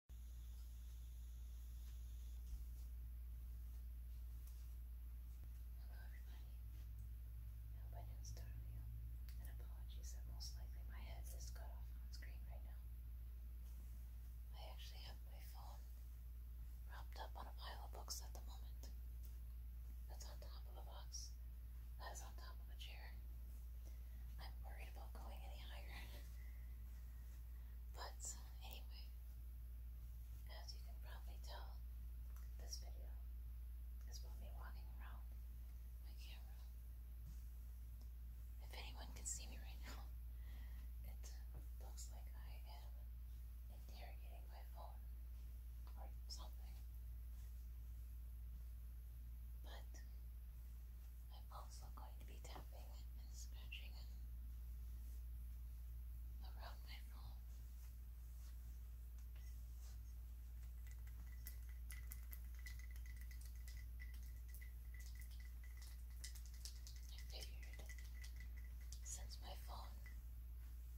Hello, everybody. I hope I did you. And apologies that most likely my head is cut off on screen right now. I actually have my phone propped up on a pile of books at the moment. That's on top of a box. That is on top of a chair. I'm worried about going any higher. But anyway, as you can probably tell, this video is about me walking around my camera. If anyone can see me right now, it looks like I am interrogating my phone or something. But I'm also going to be tapping and scratching around my phone. figured since my phone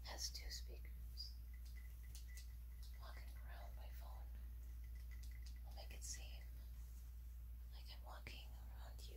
has two speakers, walking around my phone will make it seem like I'm walking around you.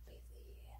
be the correct word.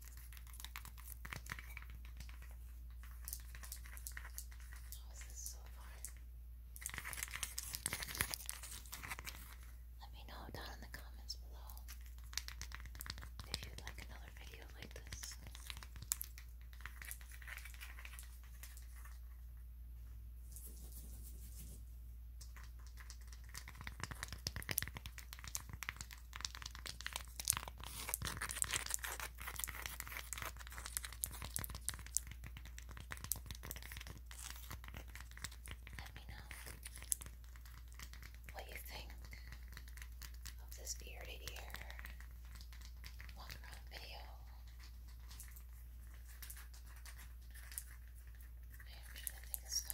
How oh, is Let me know down in the comments below if you'd like another video like this. Let me know what you think of this bearded ear long run video. I'm trying to think of stuff.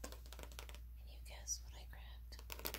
Can you guess what I grabbed?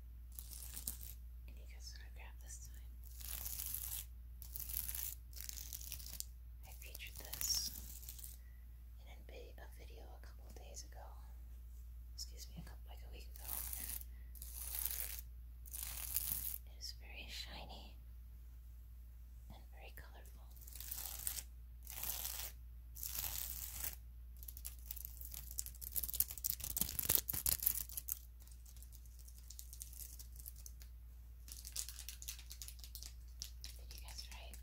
And you guys grab this I featured this in a video a couple days ago. Excuse me, like a week ago. It is very shiny and very colorful. Did you guess right?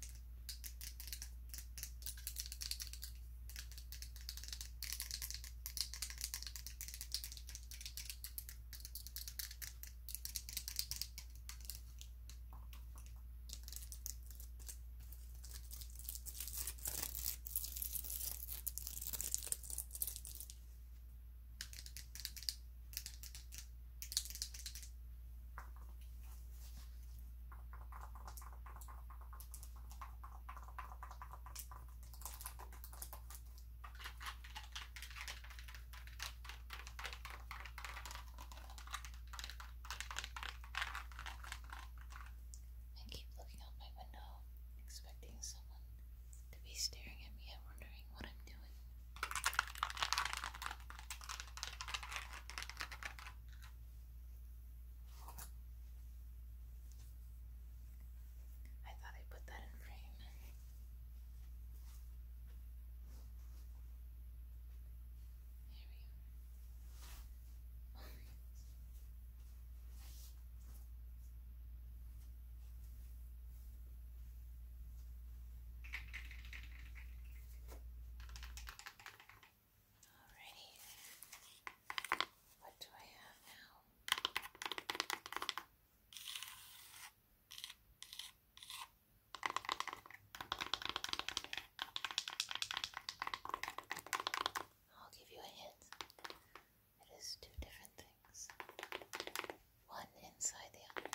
I keep looking out my window, expecting someone to be staring at me and wondering what I'm doing. I thought I put that in frame. There we go. Alrighty. What do I have now? I'll give you a hint. It is two different things. One inside the other.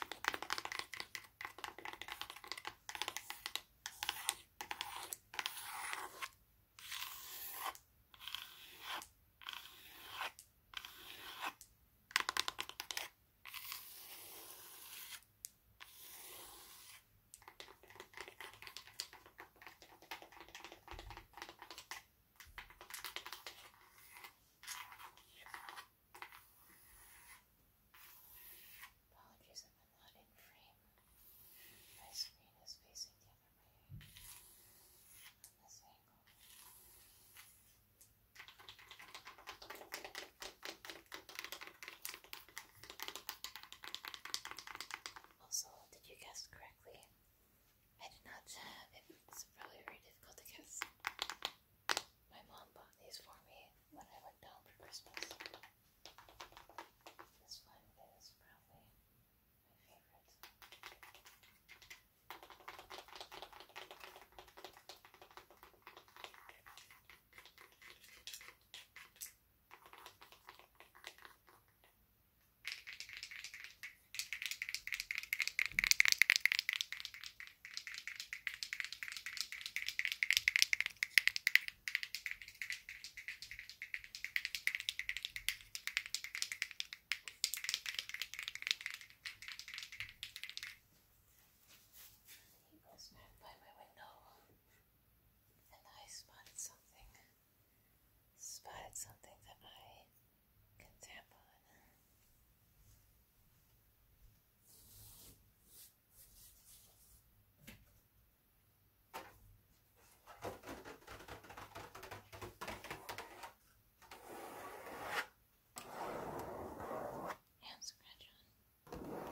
Apologies, I'm not in frame. My screen is facing the other way this angle. Also, did you guess correctly? I did not have it. It's probably very difficult to guess. My mom bought these for me when I went down for Christmas. This one is probably my favorite. He was back by my window, and I spotted something. Spotted something that I can tap on it. scratch on.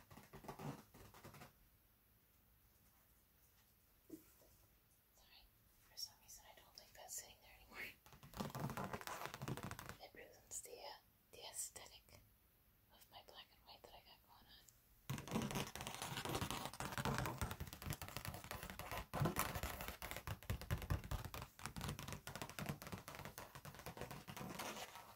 Sorry, for some reason I don't like that sitting there anymore. It ruins the the aesthetic of my black and white that I got going on.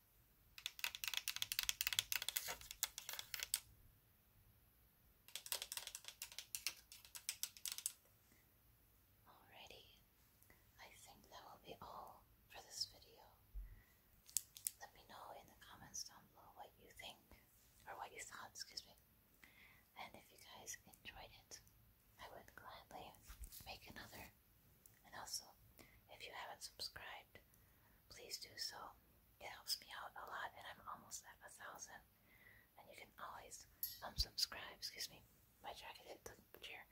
Alrighty, I think that will be all for this video. Let me know in the comments down below what you think, or what you thought, excuse me. And if you guys enjoyed it, I would gladly make another and also, if you haven't subscribed, please do so. It helps me out a lot, and I'm almost at a thousand. And you can always unsubscribe. Excuse me, my jacket hit the chair.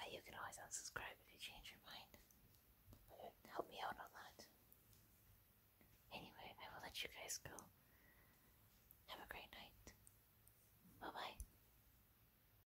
Uh, you can always unsubscribe if you change your mind. it would help me out a lot. Anyway, I will let you guys go. Have a great night. Bye bye.